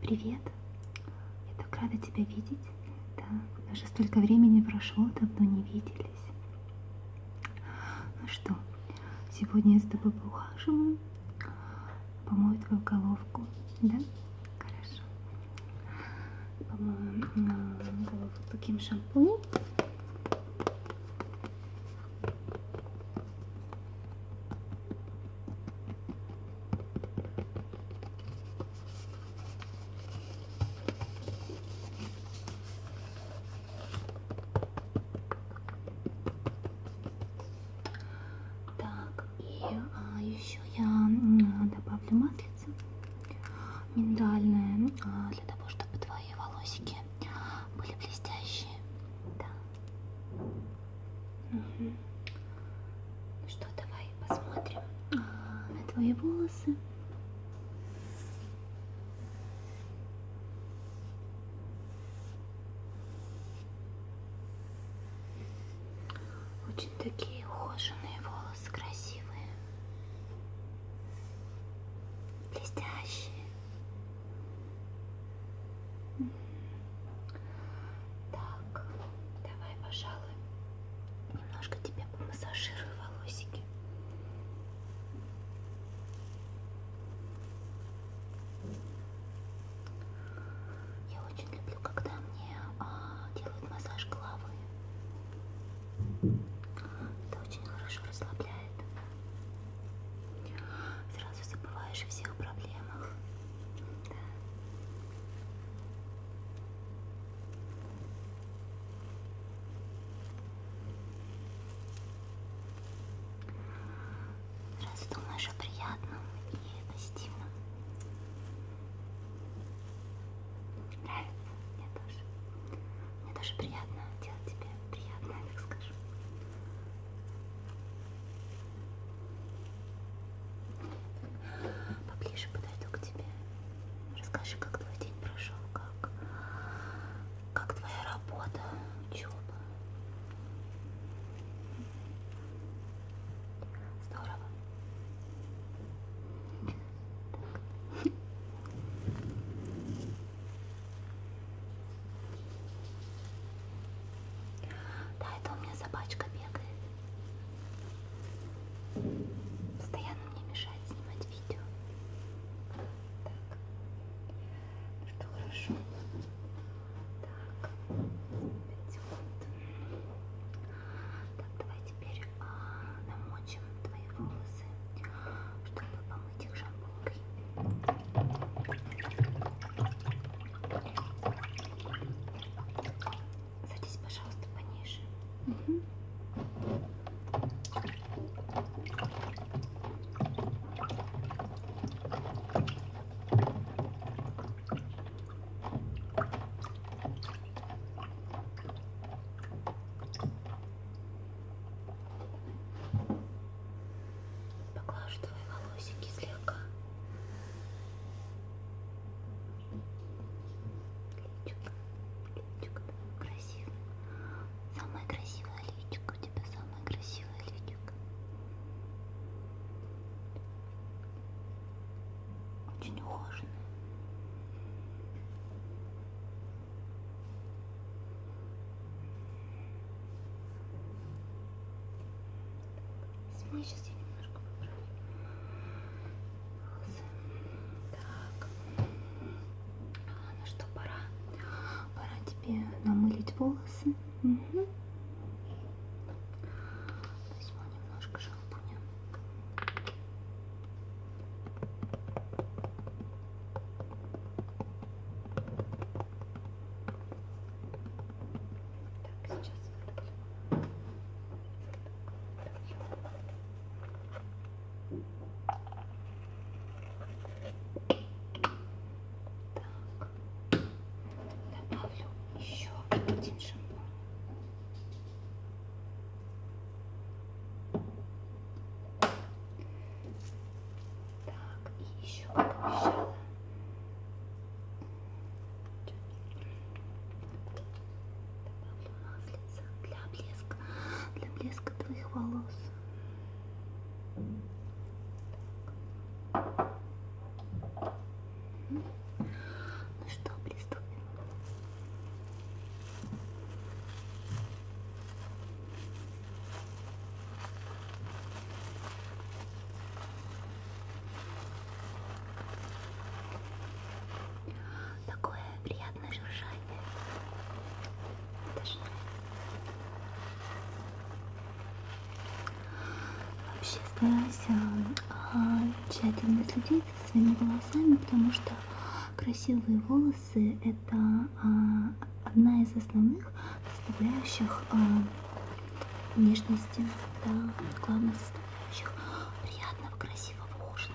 Привет! Я так рада тебя видеть. Да, даже столько времени прошло, давно не виделись. Ну что, сегодня я с тобой поухаживаю. Помою твою головку, да? Хорошо. Помою а, головку таким шампунем. Так, и а, еще я добавлю маслица миндальное а, для того, чтобы твои волосики были блестящие. Так. Угу. Ну что, давай посмотрим а, на твои волосы. Очень такие ухоженные волосы, красивые, блестящие. Так, давай, пожалуй, немножко тебе помассажирую волосики. Я очень люблю, когда мне а, делают массаж головы. Это очень хорошо расслабляет. Сразу забываешь о всех проблемах. Да. Сразу думаешь о приятном и позитивном. Нравится мне тоже. Мне тоже приятно делать тебе приятное, так скажу. Поближе подойду к тебе. Расскажи, как твой день прошел, как, как твоя работа, учеба. Здорово. Так. Да, это у меня собачка бегает. Постоянно мне мешает снимать видео. Так. Ну что, хорошо. Так. Так, давай теперь а, намочим твои волосы, чтобы этих шампунькой. Садись, пожалуйста, пониже. Угу. Поглажу твои волосики слегка. Личико, личико, красивое. Самое красивое личико, у тебя самое красивое личико. Очень ухоженное. Смотри, сейчас я немножко поправлю волосы. Так. А, ну что, пора. Пора тебе намылить волосы. Угу. Возьму немножко шампуня. Так, сейчас так, добавлю еще один шампунь. Так, и еще обещала. Добавлю маслица для блеска, для блеска твоих волос. Так. Ну что, приступим. Такое приятное жужжание. Даже вообще стараюсь а, тщательно следить занимается своими волосами, потому что красивые волосы это а, одна из основных составляющих а, нежности, да, главных составляющих приятного, красивого ужина.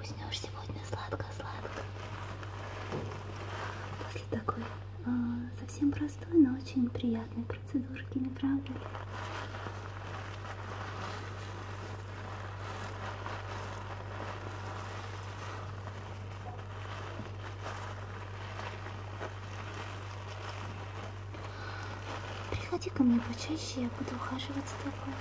Уснешь сегодня сладко-сладко. После такой э, совсем простой, но очень приятной процедурки, не правда ли? Приходи ко мне почаще, я буду ухаживать за тобой.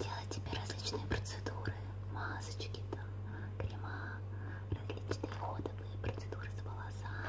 Делать тебе различные процедуры, масочки, там, крема, различные ходовые процедуры с волосами.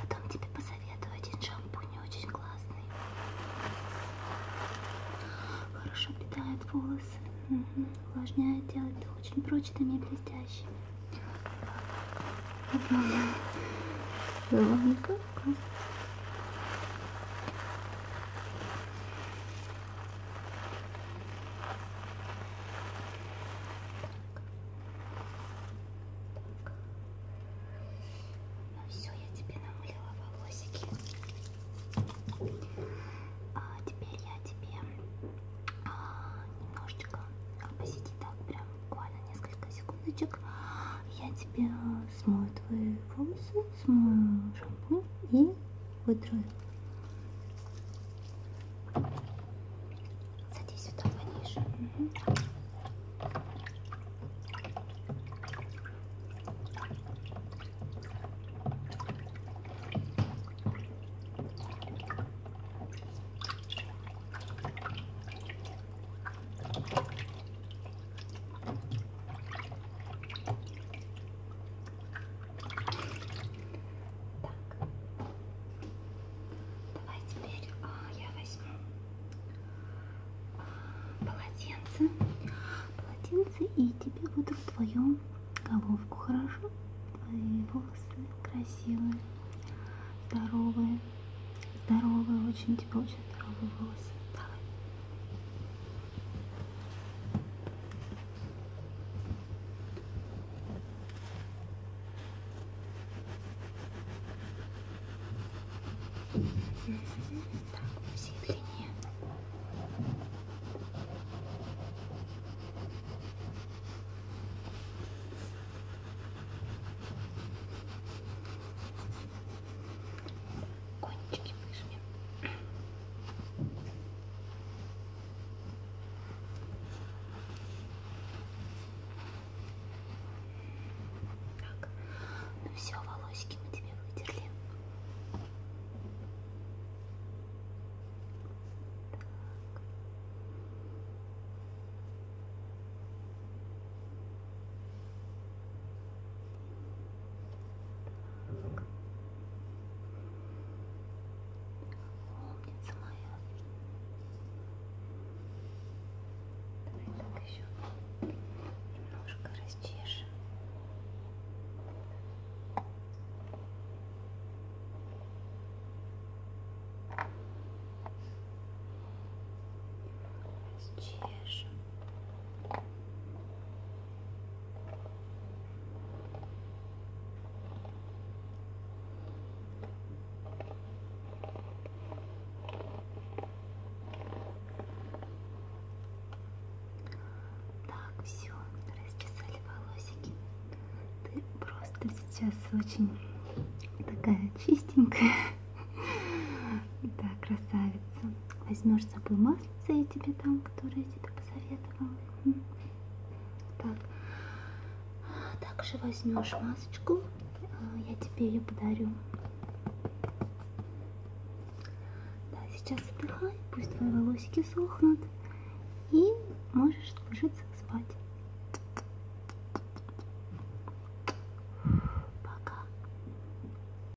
Потом тебе посоветую один шампунь очень классный. Хорошо питает волосы, угу. увлажняет, делает их очень прочными и блестящими. Ну все, я тебе намылила волосики. А теперь я тебе а, немножечко посиди так, прям буквально несколько секундочек. Я тебе смою твои волосы, смою шампунь и вытру. Садись сюда пониже. Угу. Так. Давай теперь а, я возьму а, полотенце. Полотенце и тебе буду твою головку, хорошо? Твои волосы красивые, здоровые. Здоровые, очень тебе очень здоровые волосы. Давай. Так, по всей длине. Кончики выжмем. Так, ну все, волосики мы тебе вытерли. Так. Так. Умница моя. Давай так еще немножко расчешем. Расчешем. Так, все, расчесали волосики. Ты просто сейчас очень такая чистенькая. Да, красавица. Возьмешь с собой масло кажется, я тебе дам, которые я тебе посоветовала. Так. Также возьмешь масочку, а, я тебе ее подарю. Да, сейчас отдыхай, пусть твои волосики сохнут. И можешь ложиться спать.